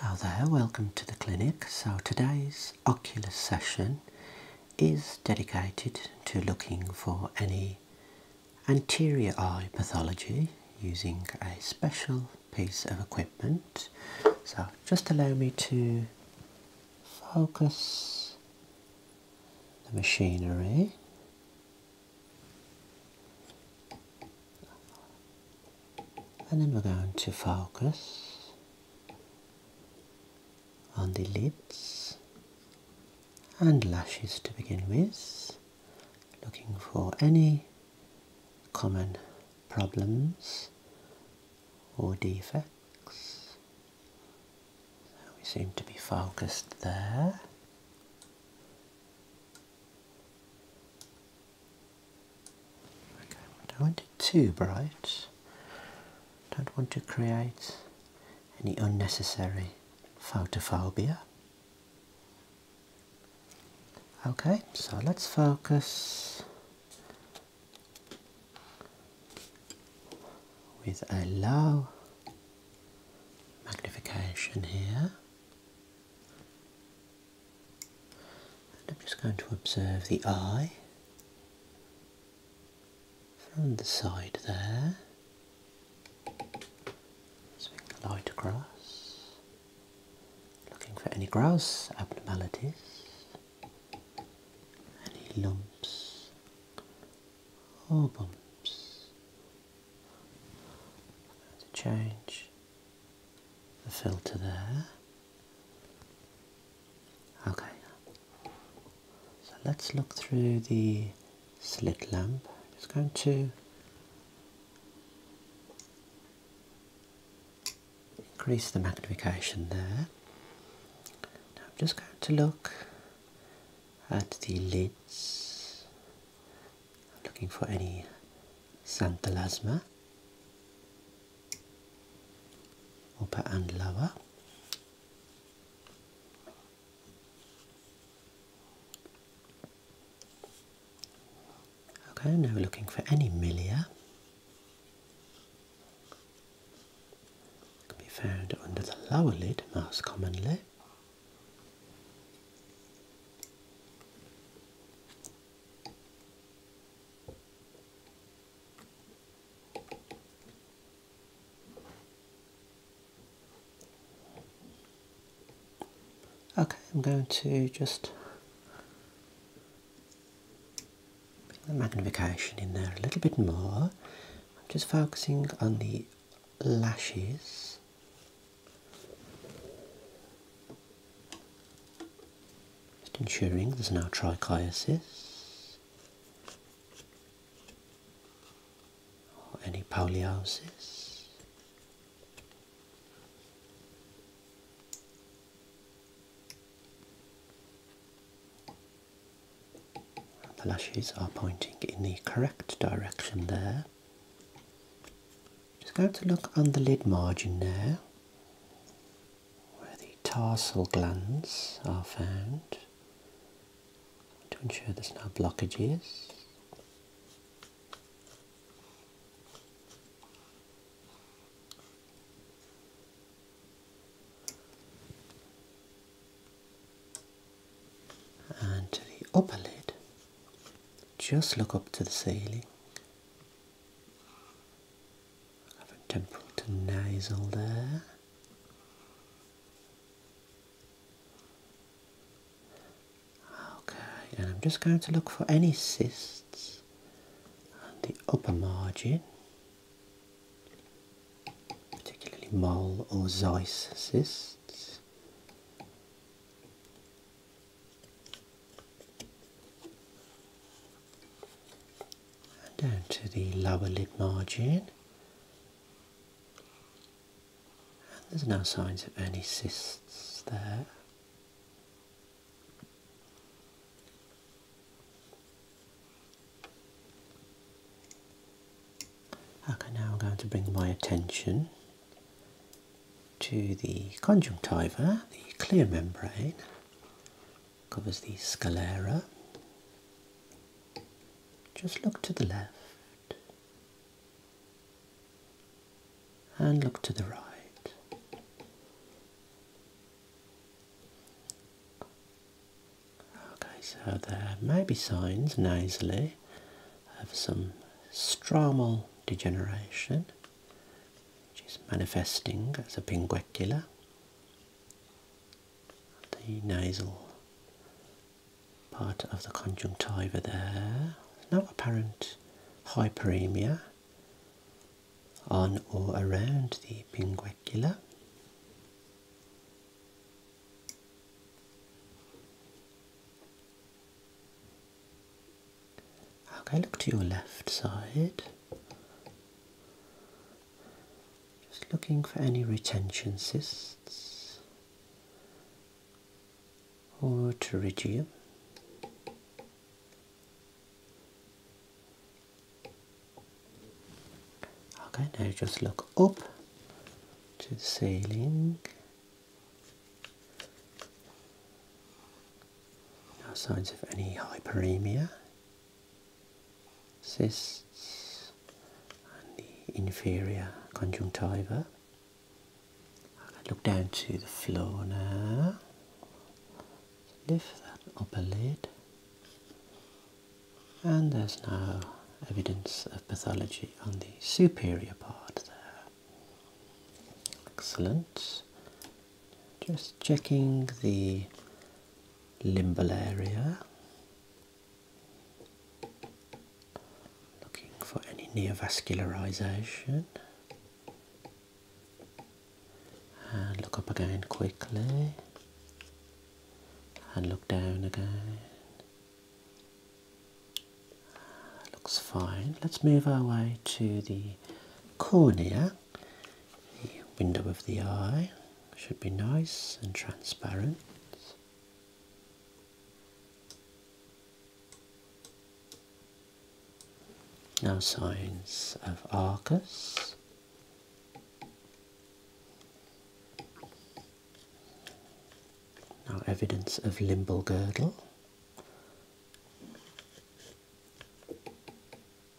Hello there, welcome to the clinic. So today's ocular session is dedicated to looking for any anterior eye pathology using a special piece of equipment. So just allow me to focus the machinery and then we're going to focus on the lids and lashes to begin with, looking for any common problems or defects. we seem to be focused there. I don't want it too bright. Don't want to create any unnecessary photophobia. Okay, so let's focus with a low magnification here I'm just going to observe the eye from the side there. Swing the light across. Looking for any grouse abnormalities, any lumps or bumps. To change the filter there. Okay, so let's look through the slit lamp. Just going to increase the magnification there. Now I'm just going to look at the lids looking for any xanthelasma, upper and lower okay now looking for any milia can be found under the lower lid most commonly Okay, I'm going to just bring the magnification in there a little bit more. I'm just focusing on the lashes just ensuring there's now trichiasis any poliosis. The lashes are pointing in the correct direction there. Just going to look on the lid margin there, where the tarsal glands are found, to ensure there's no blockages. And to the upper lid, just look up to the ceiling. Have a temporal to nasal there. Okay, and I'm just going to look for any cysts on the upper margin, particularly mole or Zeiss cysts and down to the lower lid margin. And there's no signs of any cysts there. Okay, now I'm going to bring my attention to the conjunctiva, the clear membrane, covers the sclera. Just look to the left and look to the right. Okay, so there may be signs nasally of some strumal degeneration, which is manifesting as a pinguecula, the nasal part of the conjunctiva there. No apparent hyperemia on or around the pinguecula. Okay, look to your left side. Just looking for any retention cysts or pterygium. Okay, now just look up to the ceiling no signs of any hyperemia, cysts, and the inferior conjunctiva. I look down to the floor now. Lift that upper lid, and there's no evidence of pathology on the superior part there. Excellent. Just checking the limbal area. Looking for any neovascularization. And look up again quickly. And look down again. Looks fine. Let's move our way to the cornea, the window of the eye. Should be nice and transparent. Now signs of Arcus. Now evidence of limbal girdle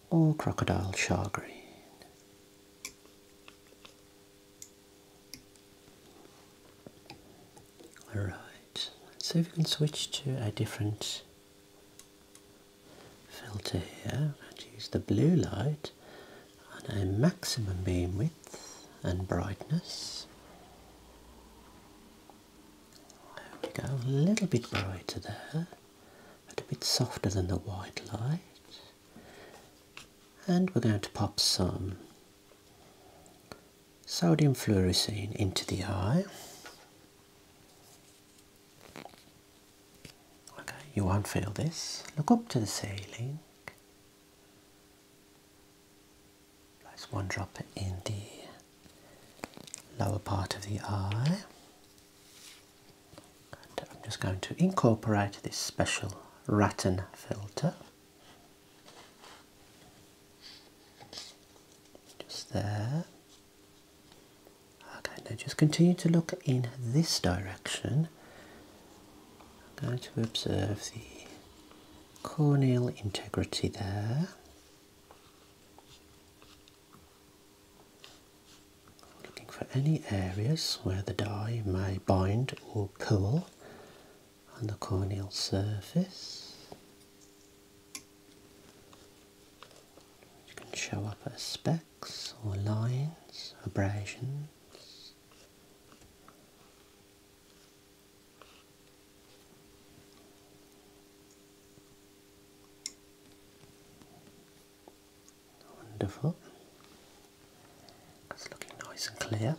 or crocodile char Alright, let's see if we can switch to a different filter here i and use the blue light and a maximum beam width and brightness there we go, a little bit brighter there, but a bit softer than the white light. And we're going to pop some sodium fluorescein into the eye. Okay, you won't feel this. Look up to the ceiling. Place one drop in the lower part of the eye. I'm just going to incorporate this special rattan filter. Just there. Okay, now just continue to look in this direction. I'm going to observe the corneal integrity there. Looking for any areas where the dye may bind or pool on the corneal surface, which can show up as specks or lines, abrasions. Wonderful. It's looking nice and clear.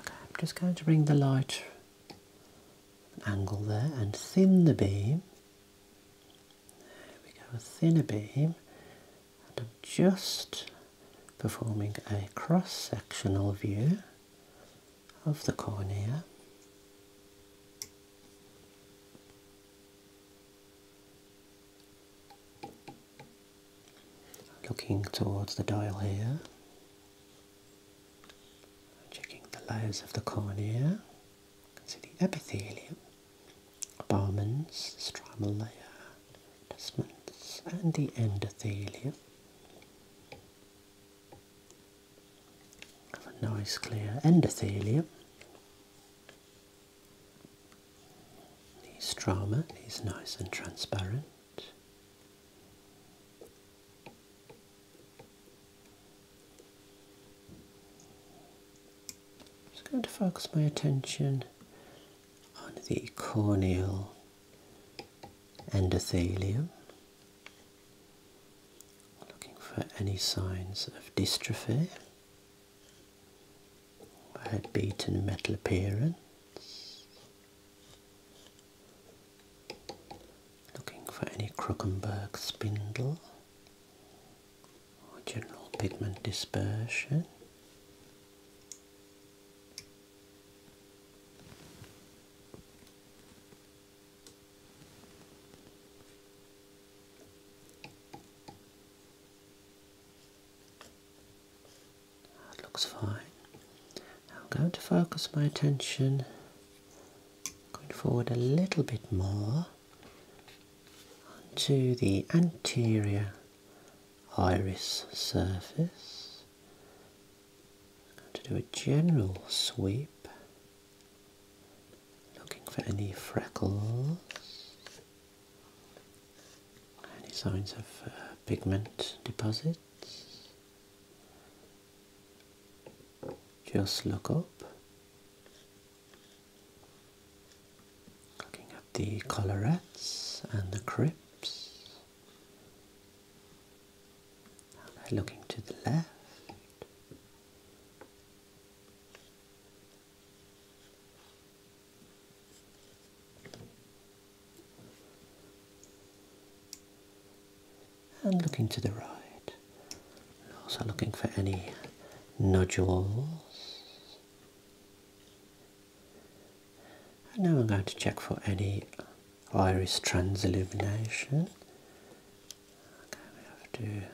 Okay, I'm just going to bring the light angle there and thin the beam. There we go, a thinner beam. And I'm just performing a cross-sectional view of the cornea. Looking towards the dial here. Checking the layers of the cornea. You can see the epithelium, abomens, stromal layer, adjustments, and the endothelium. Have a nice clear endothelium. The stroma is nice and transparent. I'm just going to focus my attention on the corneal endothelium. Looking for any signs of dystrophy, headbeat and metal appearance. Looking for any Krukenberg spindle or general pigment dispersion. That looks fine. I'm going to focus my attention Going forward a little bit more onto the anterior iris surface. I'm going to do a general sweep, looking for any freckles, any signs of uh, pigment deposits. Just look up, looking at the colorettes and the crypts. And looking to the left and looking to the right. Also looking for any nodules. And now I'm going to check for any iris transillumination. Okay, we have to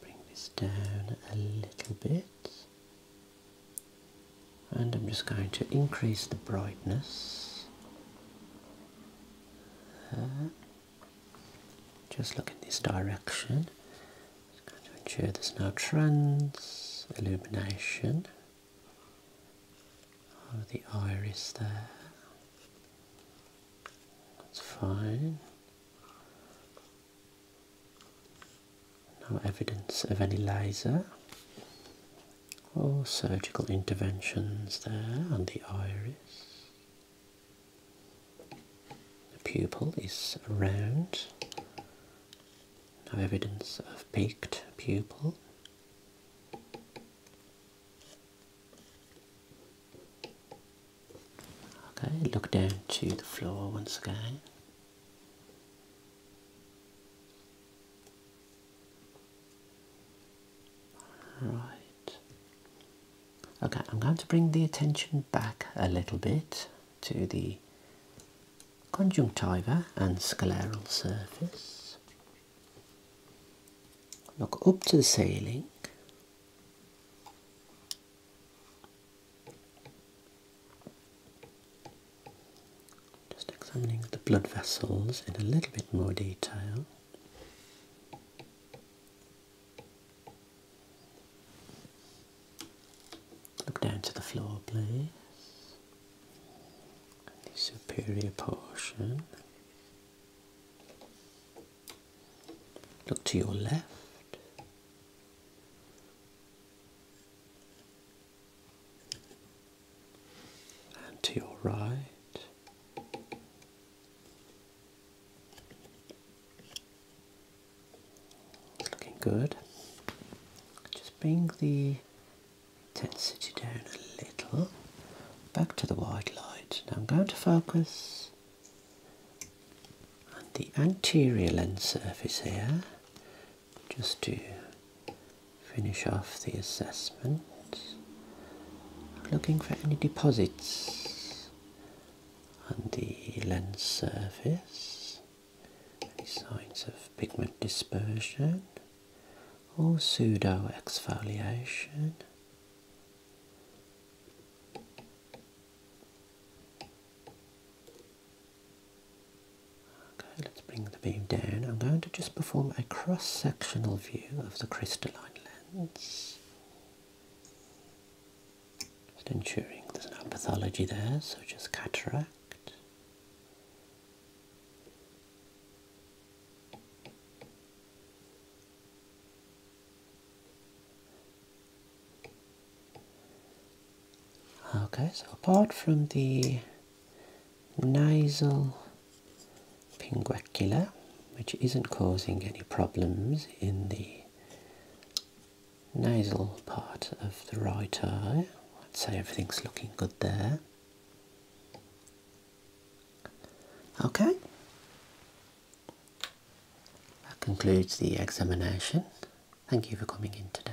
bring this down a little bit. And I'm just going to increase the brightness just look in this direction. Just going to ensure there's no trans illumination of oh, the iris there. That's fine. No evidence of any laser. All surgical interventions there and the iris. The pupil is round, no evidence of peaked pupil. Okay, look down to the floor once again. Right. Okay, I'm going to bring the attention back a little bit to the conjunctiva and scleral surface. Look up to the ceiling. Just examining the blood vessels in a little bit more detail. Look down to the floor, please. the superior portion. Look to your left and to your right. Looking good. Just bring the density down a little. Back to the white light. Now I'm going to focus on the anterior lens surface here just to finish off the assessment. Looking for any deposits on the lens surface, any signs of pigment dispersion or pseudo exfoliation let's bring the beam down. I'm going to just perform a cross-sectional view of the crystalline lens. Just ensuring there's no pathology there, So just cataract. Okay, so apart from the nasal pinguacula, which isn't causing any problems in the nasal part of the right eye. I'd say everything's looking good there. Okay. That concludes the examination. Thank you for coming in today.